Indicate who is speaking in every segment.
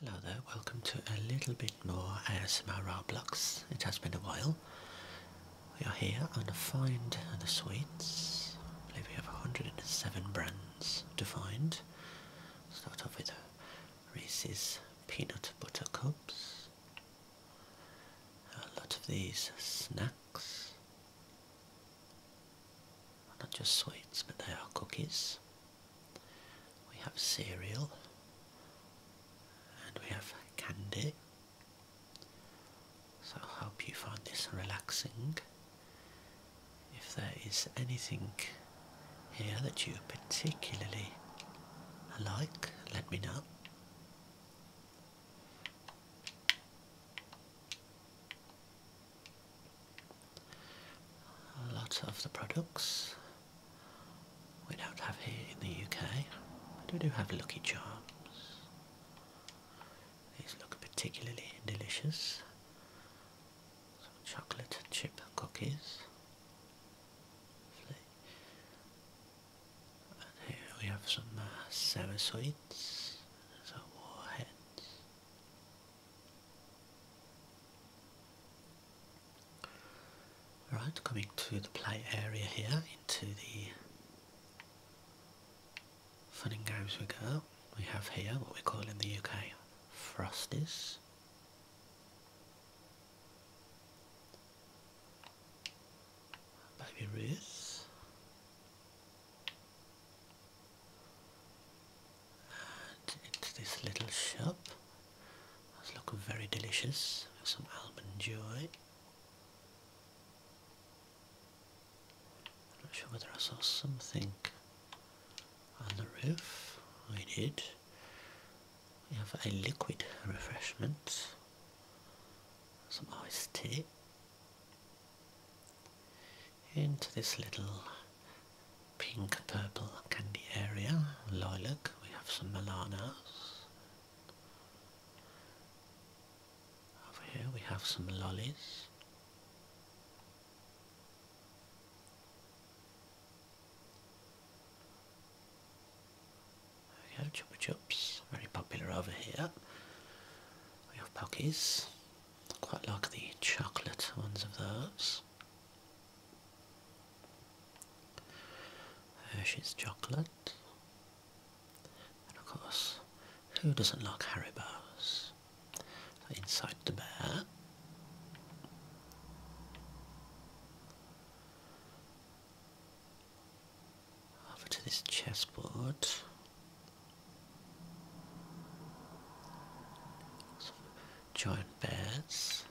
Speaker 1: Hello there, welcome to a little bit more ASMR blocks. It has been a while. We are here on a find and the sweets. I believe we have 107 brands to find. Start off with Reese's Peanut Butter Cups. A lot of these snacks. Not just sweets, but they are cookies we have cereal and we have candy. So I hope you find this relaxing. If there is anything here that you particularly like, let me know. A lot of the products we don't have here in the UK, but we do have Lucky Charms. These look particularly delicious. Some chocolate chip cookies. And here we have some uh, sour some warheads. Right, coming to the play area here, into the fun and games we go. We have here what we call in the UK Frosties. Baby Ruth. And this little shop. Looks very delicious. Have some almond joy. I'm not sure whether I saw something on the roof. I did. We have a liquid refreshment. Some iced tea into this little pink purple candy area. Lilac, we have some Milanos. Over here we have some lollies. There we go, Chupa Chups, very popular over here. We have Pockies, quite like the chocolate ones of those. Hershey's chocolate. And of course, who doesn't like Haribo's? So inside the bear. Over to this chessboard. Joint beds,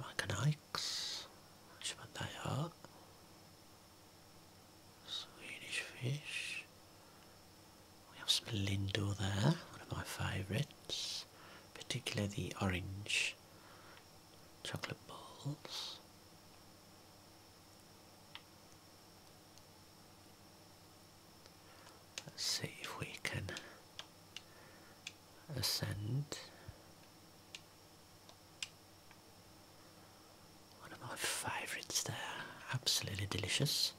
Speaker 1: Macanikes, what they are, Swedish fish, we have some Lindor there, one of my favourites, particularly the orange chocolate balls. Let's see if we can ascend. One of my favourites there, absolutely delicious.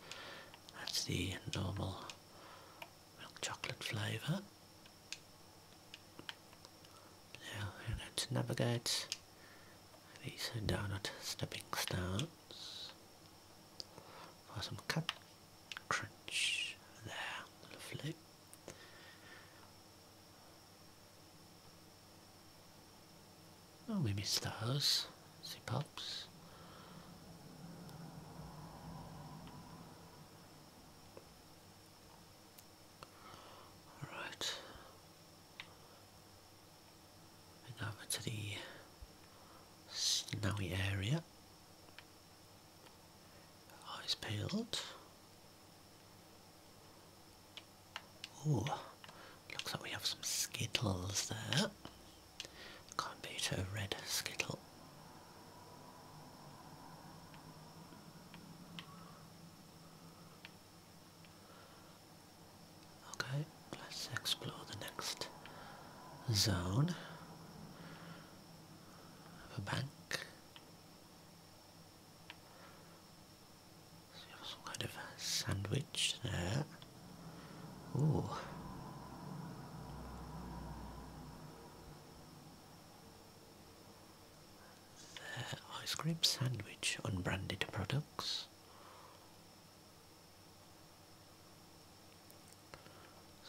Speaker 1: That's the normal milk chocolate flavour. Now we're going to navigate these donut stepping stones for some cut crunch there, lovely. Oh, we See pops. All right over to the snowy area. Eyes peeled. Ooh, looks like we have some skittles there. Can't beat a red skittle. Okay, let's explore the next zone of a bank. some kind of sandwich there. Ooh. There, ice cream sandwich, unbranded products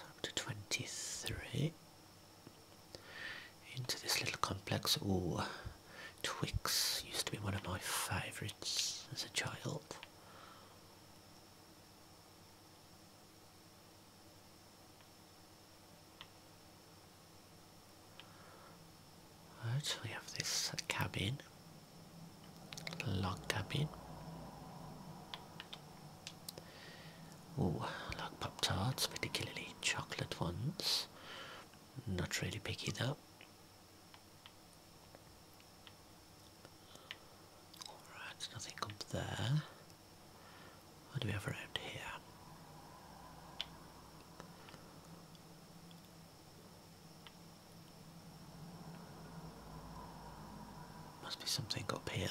Speaker 1: up to 23 into this little complex. Oh, Twix used to be one of my favourites as a child. Right, we have this cabin log cabin. Ooh, like Pop Tarts, particularly chocolate ones. Not really picky though. Alright, nothing up there. What do we have around here? Must be something up here.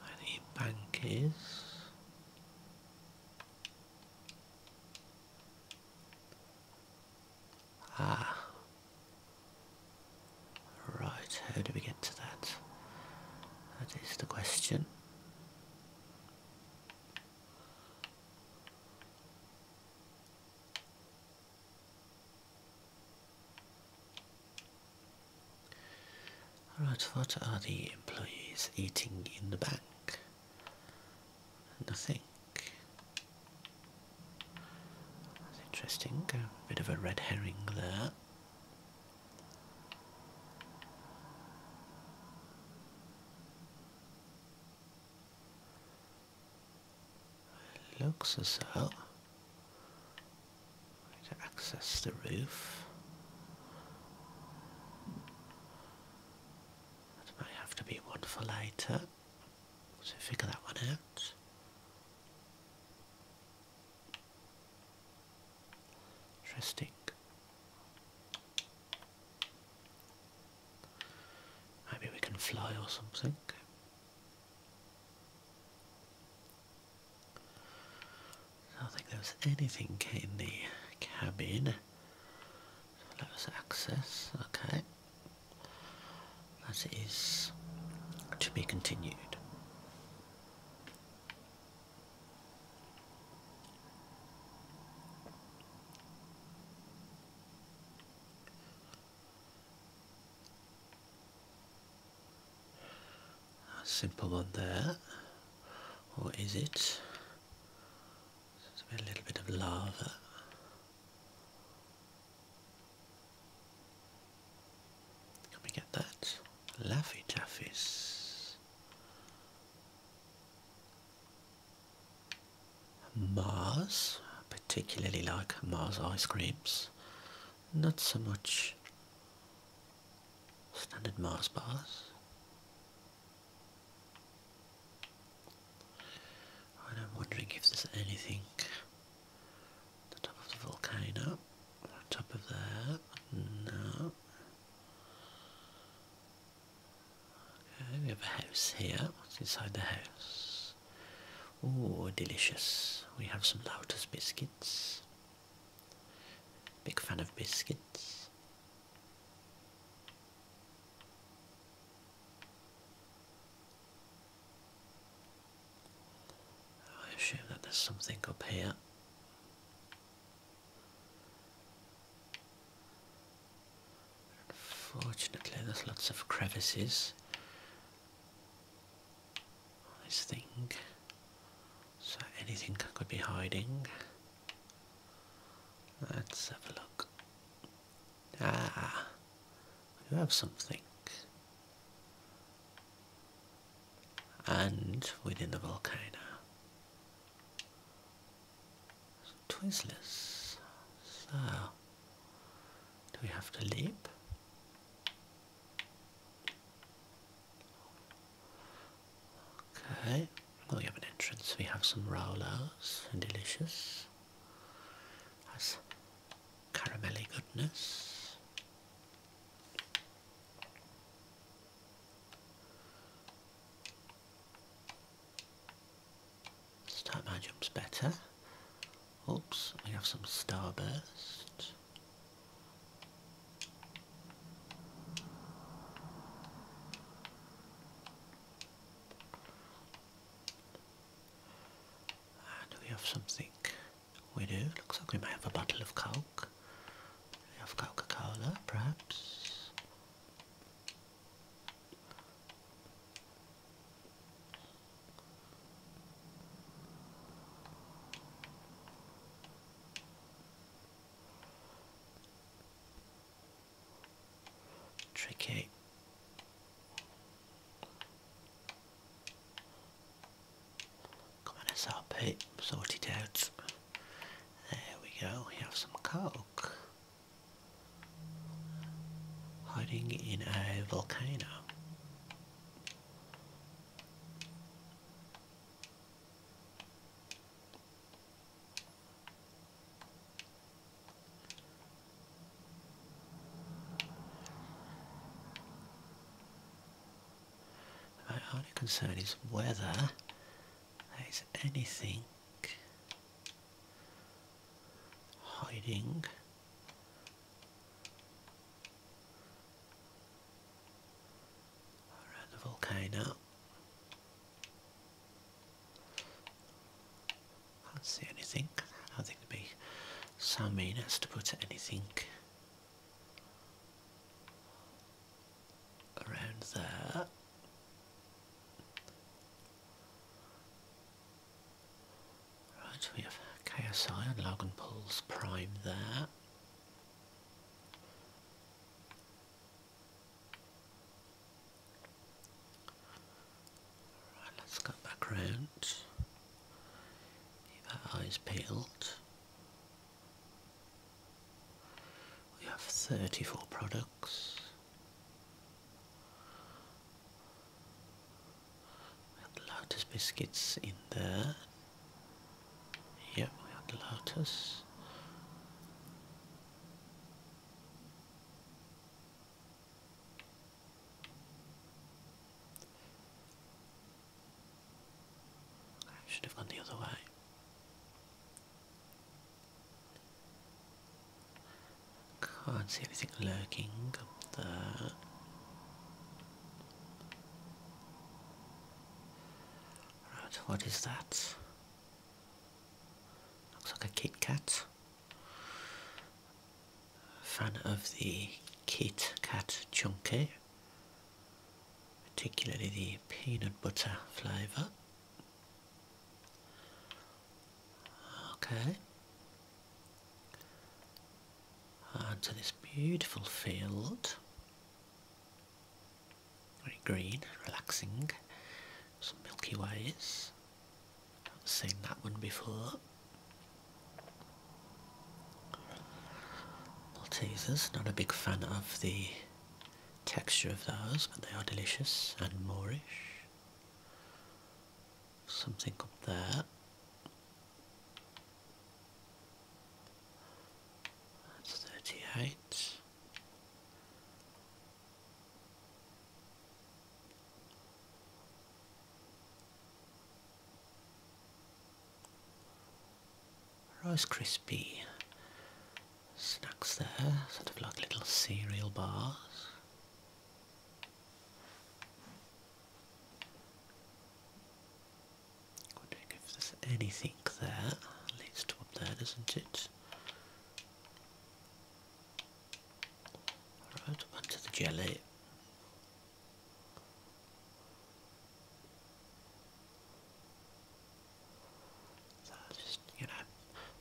Speaker 1: Where bank is. Ah. Right, how do we get to that? That is the question. Alright, what are the employees eating in the bank? Nothing. That's interesting. A bit of a red herring there. It looks as though to access the roof. That might have to be one for later. So figure that one out. Interesting. Maybe we can fly or something. I don't think there was anything in the cabin. So let us access. Okay. That is to be continued. A simple one there, What is it? a little bit of lava. Can we get that? Laffy Taffys. Mars, particularly like Mars ice creams, not so much standard Mars bars. I'm wondering if there's anything on the top of the volcano, on top of there, no we have a house here. What's inside the house? Oh, delicious. We have some Lotus biscuits. Big fan of biscuits. I assume that there's something up here. Unfortunately, there's lots of crevices. I think. So anything could be hiding. Let's have a look. Ah, you have something. And within the volcano. Twizzlers. So, do we have to leap? Okay, well, we have an entrance. We have some rollers and delicious. That's caramelly goodness. This time my jump's better. Oops, we have some starburst. And we have something we do. Looks like we might have a bottle of coke. Coke. Coca-Cola, perhaps. Tricky. Come on, SRP, sort out. There we go, we have some coke. Hiding in a volcano. My only concern is weather there's anything hiding around the volcano. Can't see anything. I don't think there'd be so mean to put anything around there. Right, we have KSI and Logan Paul's prime there. Right, let's go back round. Keep our eyes peeled. We have 34 products. We have the Lotus biscuits in there. Yep, we have the Lotus. should have gone the other way. Can't see anything lurking up there. what is that? Looks like a Kit Kat. Fan of the Kit Kat Chunky particularly the peanut butter flavour. Okay, onto this beautiful field. Very green, relaxing. Some Milky Ways. have seen that one before. Maltesers, not a big fan of the texture of those, but they are delicious and moorish. Something up there. That's thirty eight. Rice crispy snacks there, sort of like little cereal bars. Wondering if there's anything there. Let's top that, not it? Right, onto the jelly. So just, you know,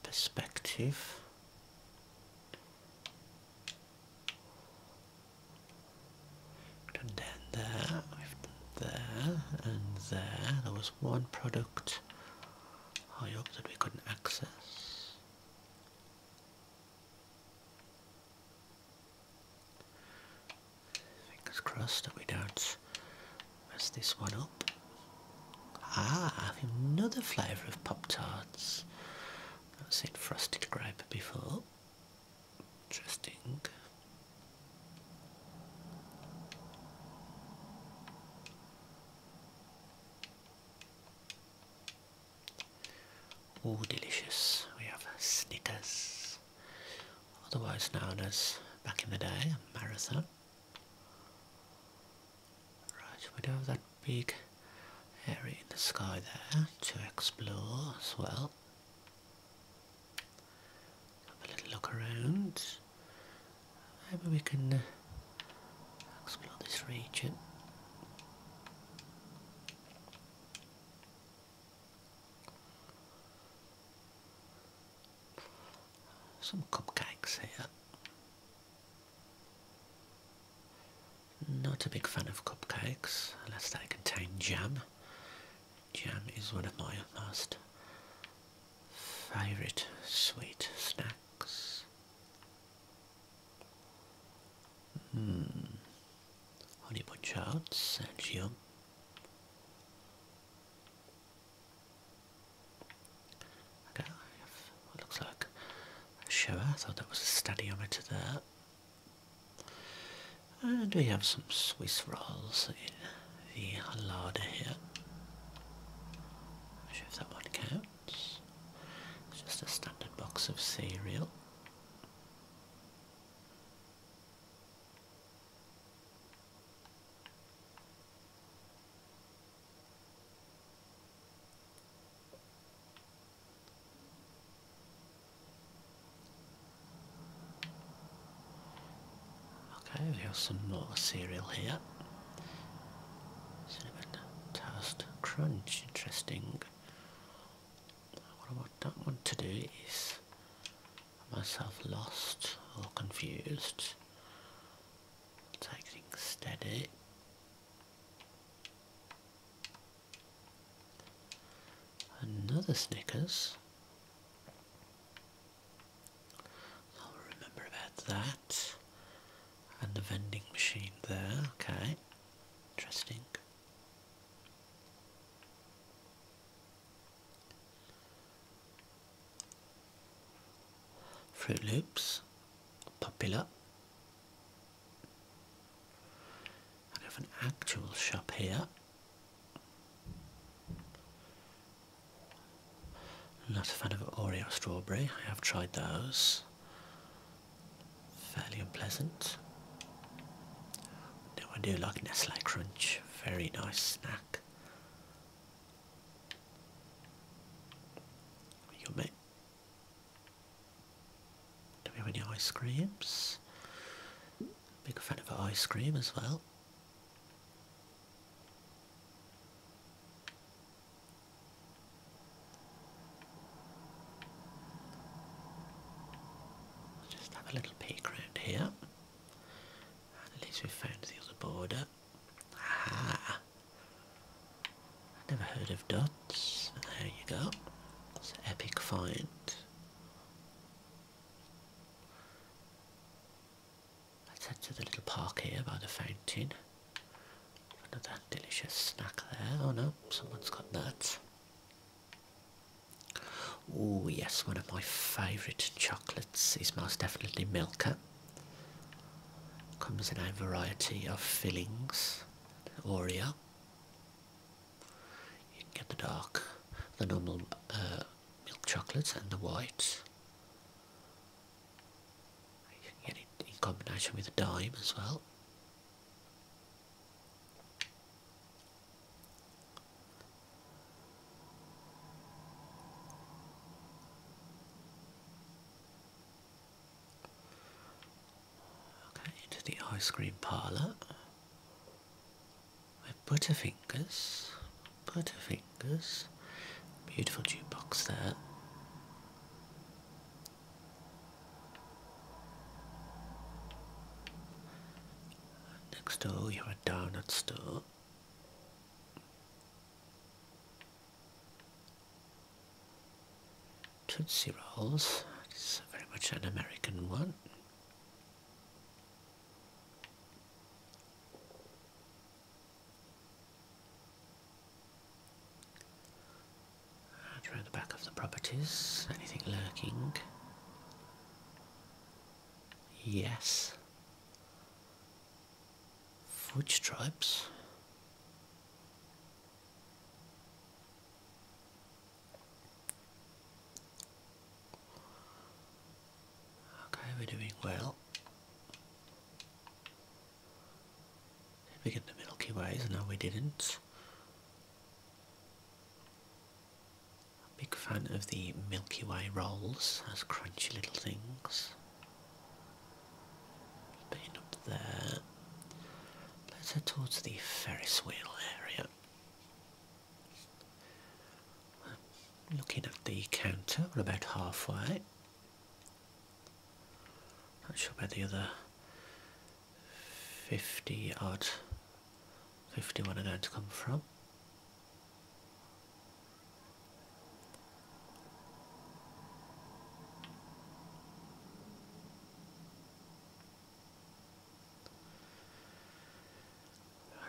Speaker 1: perspective. done there, there, and there. There was one product I hope that we couldn't access. Fingers crossed that we don't mess this one up. Ah, another flavour of Pop Tarts. I've seen frosted grape before. Interesting. Oh, delicious. We have Snickers otherwise known as, back in the day, a marathon. Right, we do have that big area in the sky there to explore as well. Have a little look around. Maybe we can explore this region. Some cupcakes here. Not a big fan of cupcakes unless they contain jam. Jam is one of my most favourite sweet snacks. Hmm. Honey bunch oats sounds yum. Okay, I have what looks like a shower, so that was a stadiometer there. And we have some Swiss rolls in the larder here. I'm Not sure if that one counts. It's just a standard box of cereal. Okay, we have some more cereal here. Cinnamon toast crunch, interesting. What I want that one to do is myself lost or confused. Taking steady. Another Snickers. I'll remember about that. And the vending machine there, okay. Interesting. Fruit Loops, Popular. I have an actual shop here. Not a fan of Oreo strawberry, I have tried those. Fairly unpleasant. Now I do like Nestle Crunch, very nice snack. Yummy. Do we have any ice creams? Big fan of ice cream as well. I'll just have a little peek around here. at least we found the other border. Ah! I never heard of dots. There you go. It's an epic find. Let's head to the little park here by the fountain. Another delicious snack there. Oh no, someone's got that. Oh, yes, one of my favourite chocolates is most definitely Milka. Comes in a variety of fillings. Oreo. You can get the dark, the normal uh, milk chocolate and the white. You can get it in combination with the dime as well. Okay, into the ice cream parlour. With Butterfingers, Butterfingers, beautiful jukebox there. Next door you have a donut store. Tootsie Rolls, it's very much an American one. around the back of the properties, anything lurking? Yes. Fudge Okay, we're doing well. we get the Milky Ways? No, we didn't. Big fan of the Milky Way rolls as crunchy little things. Been up there. Let's head towards the Ferris wheel area. Looking at the counter, we're about halfway. Not sure where the other 50 odd 51 are going to come from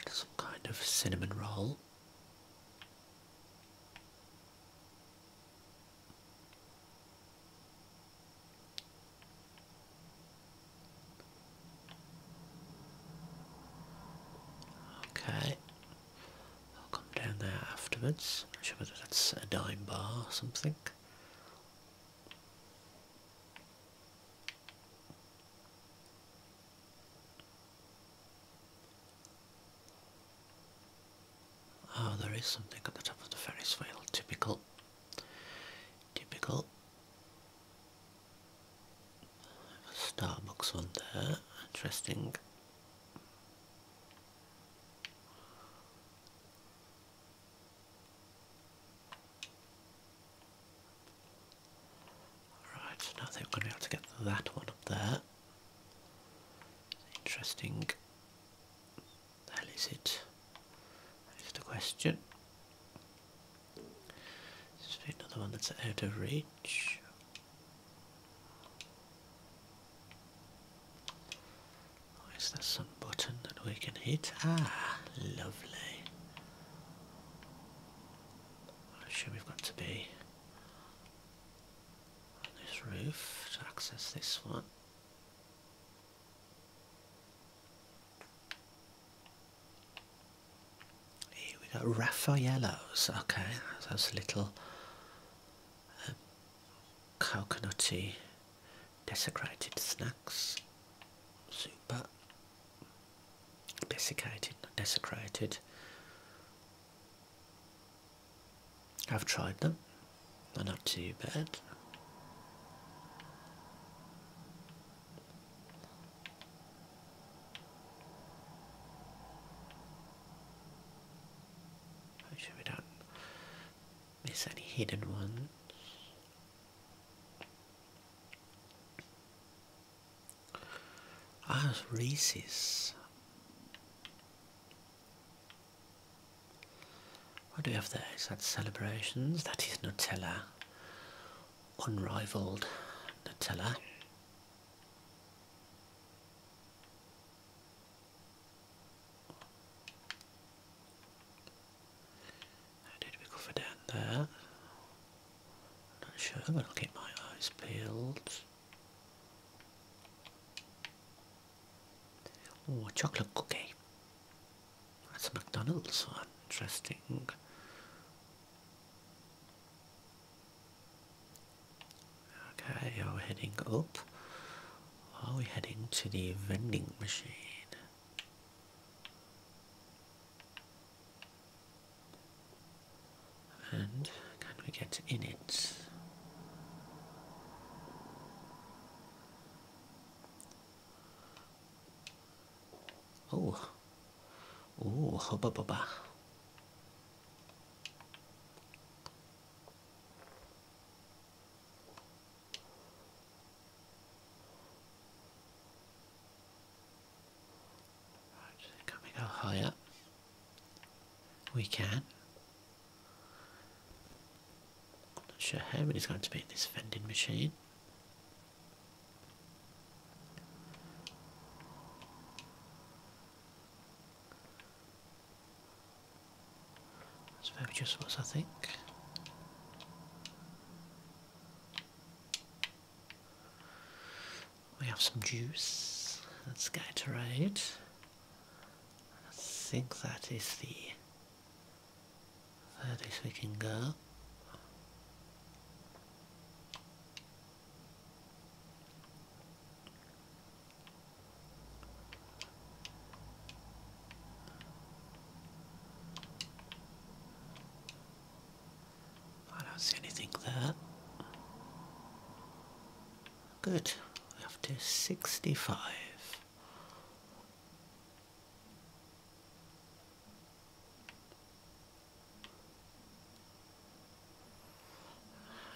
Speaker 1: some kind of cinnamon roll Okay, I'll come down there afterwards. I'm not sure whether that's a dime bar or something. Oh, there is something at the top of the Ferris wheel. Typical. Typical. Starbucks one there, interesting. Right, so now I think going to be able to get that one up there. Interesting. That is it. That is the question. Let's another one that's out of reach. Oh, is there some button that we can hit? Ah, lovely. I'm sure we've got to be on this roof to access this one. Here we got Raffaello's. Okay, those little um, coconutty desecrated snacks. Super. Desiccated, desecrated. I've tried them not too bad. Make sure we don't miss any hidden ones. Ah, Reese's. What do we have there? Is that celebrations? That is Nutella. Unrivaled Nutella. How did we go for down there? Not sure, but I'll keep my eyes peeled. Oh, chocolate cookie. That's a McDonald's one. Interesting. Okay, we heading up. Are we heading to the vending machine? And can we get in it? Oh. Oh, hubba bubba. Can we go higher? We can. Not sure how many's going to be in this vending machine. That's very just what I think. We have some juice. to Gatorade. I think that is the Furthest we can I don't see anything there. Good. Up to sixty-five.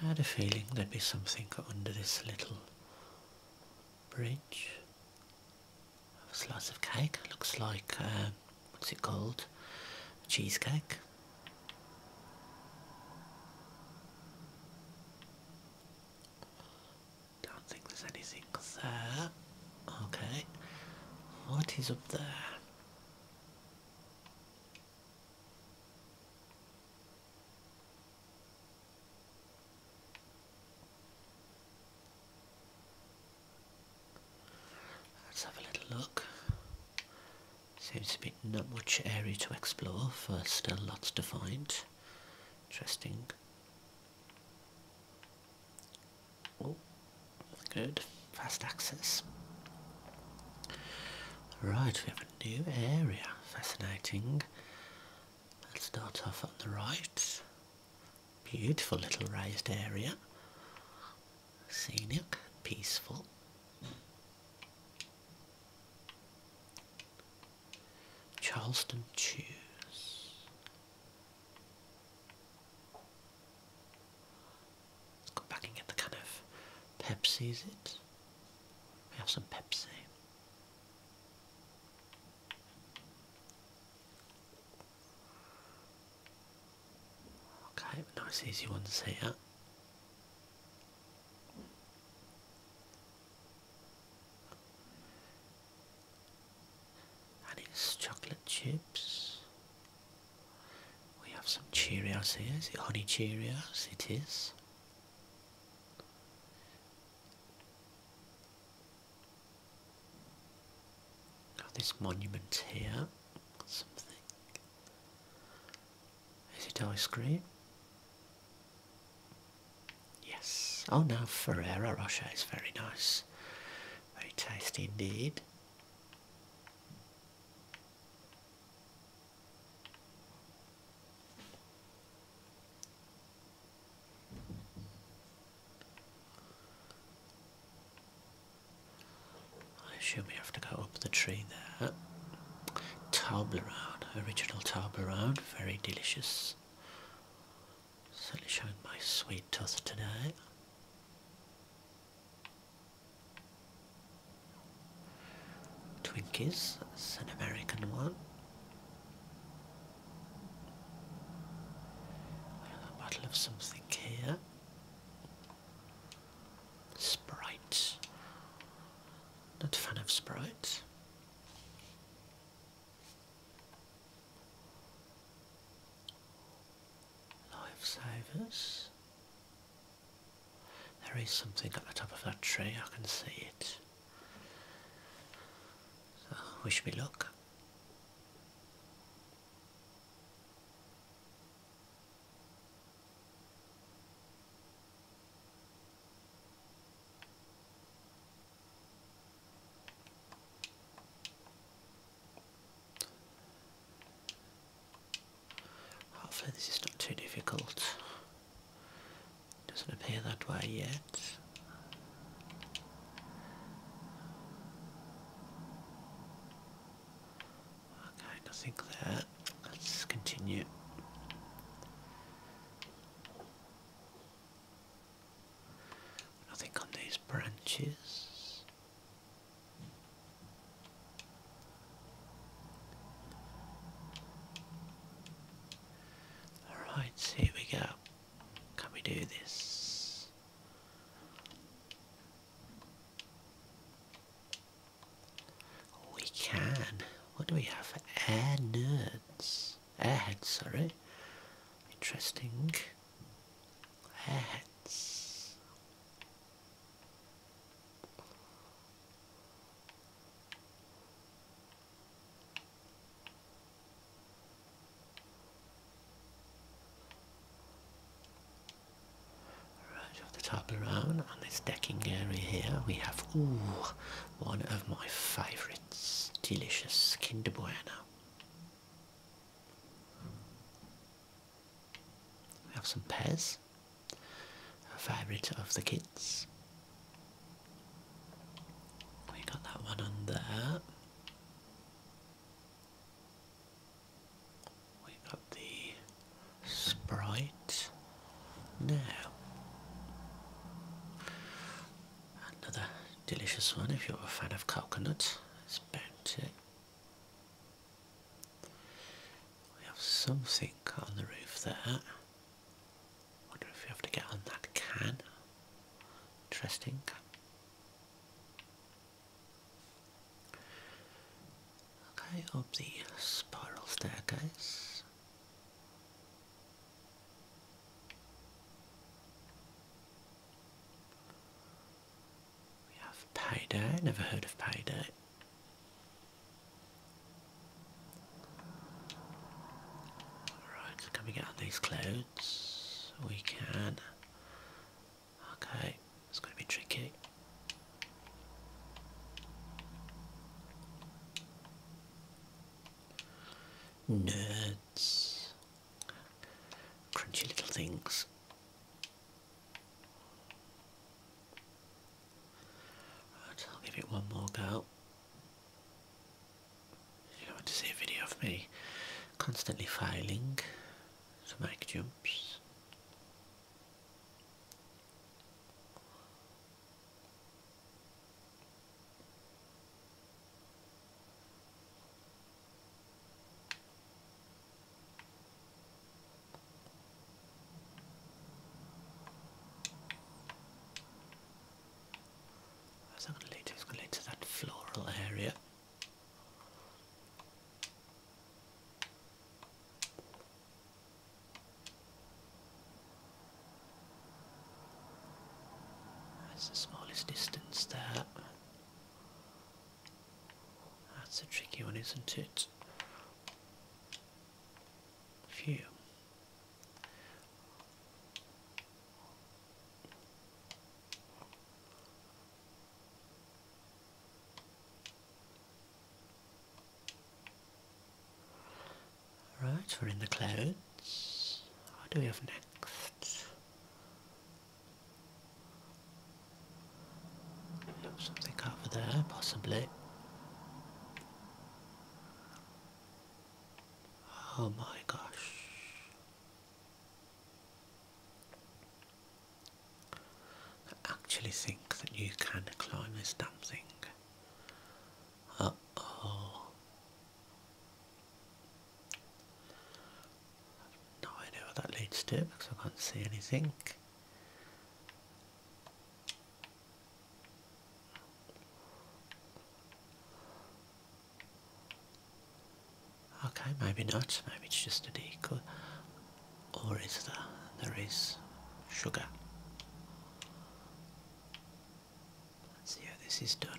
Speaker 1: I had a feeling there'd be something under this little bridge. A slice of cake. Looks like, uh, what's it called? Cheesecake. Don't think there's anything there. Okay. What is up there? Let's have a little look. Seems to be not much area to explore, but still lots to find. Interesting. Oh, good. Fast access. Right, we have a new area. Fascinating. Let's start off on the right. Beautiful little raised area. Scenic, peaceful. Charleston Chews. Let's go the kind of Pepsi, is it? We have some Pepsi. Okay, nice easy ones here and it's chocolate chips. We have some Cheerios here. Is it honey Cheerios? It is. Got this monument here. Something. Is it ice cream? Yes. Oh now Ferrero Rocher is very nice. Very tasty indeed. I assume we have to go up the tree there. Toblerone, original Toblerone, very delicious. Certainly showing my sweet tooth today. Twinkies, that's an American one. a bottle of something here. Sprite. Not a fan of Sprite. Lifesavers. There is something at the top of that tree, I can see it. wish me luck. Hopefully this is not too difficult. Doesn't appear that way yet. Okay, think there. Let's continue. Nothing on these branches. Alright, here we go. Can we do this? We can. What do we have? Air nerds airheads, sorry. Interesting. Airheads. Right off the top around on this decking area here we have one of my favorites. Delicious Kinder Bueno. We have some pears, a favourite of the kids. We got that one on We got the Sprite now, another delicious one if you're a fan of coconut, it's too. We have something on the roof there. Wonder if we have to get on that can. Interesting. Okay, up the spiral staircase. We have Payday, never heard of Payday. Alright, so coming out of these clouds, we can. Okay, it's going to be tricky. Nerds. Crunchy little things. I'll give it one more go. You want to see a video of me constantly filing to make jumps. It's going to lead to that floral area. That's the smallest distance there. That's a tricky one, isn't it? Phew. Right, we're in the clouds. What do we have next? Something over there, possibly. Oh my gosh. I actually think that you can climb this damn thing. Uh oh. I have what that leads to because I can't see anything. Okay, maybe not. Maybe it's just a decoy. Or is there? There is sugar. Let's see how this is done.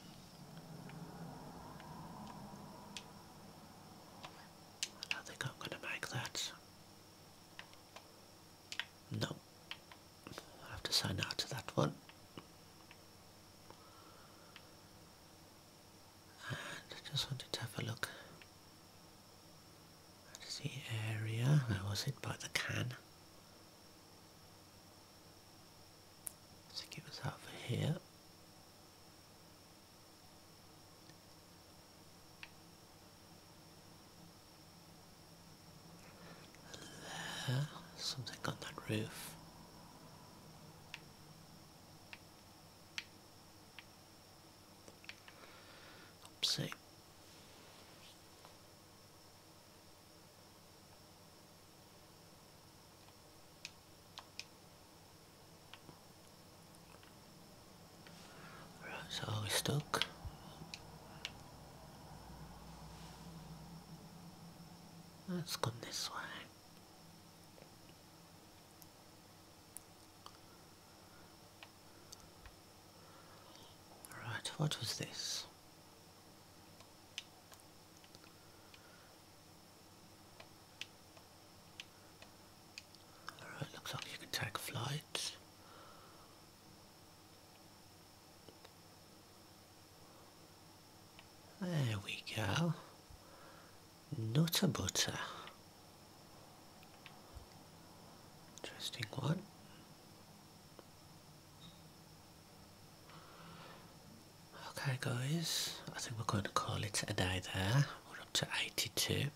Speaker 1: I think I'm going to make that. No. I have to sign out to that one. And I just wanted to have a look that is the area. Where was it? By the can. I think it was over here. There. Something on that roof. Oopsie. Right, so we stuck. Let's go this way. Alright, what was this? Alright, looks like you can take flight. There we go. Nutter butter. Interesting one. Okay guys, I think we're going to call it a day there. We're up to 82.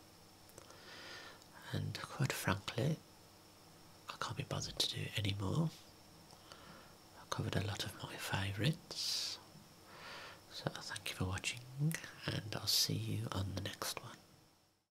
Speaker 1: And quite frankly, I can't be bothered to do any more. I have covered a lot of my favourites. So thank you for watching and I'll see you on the next one.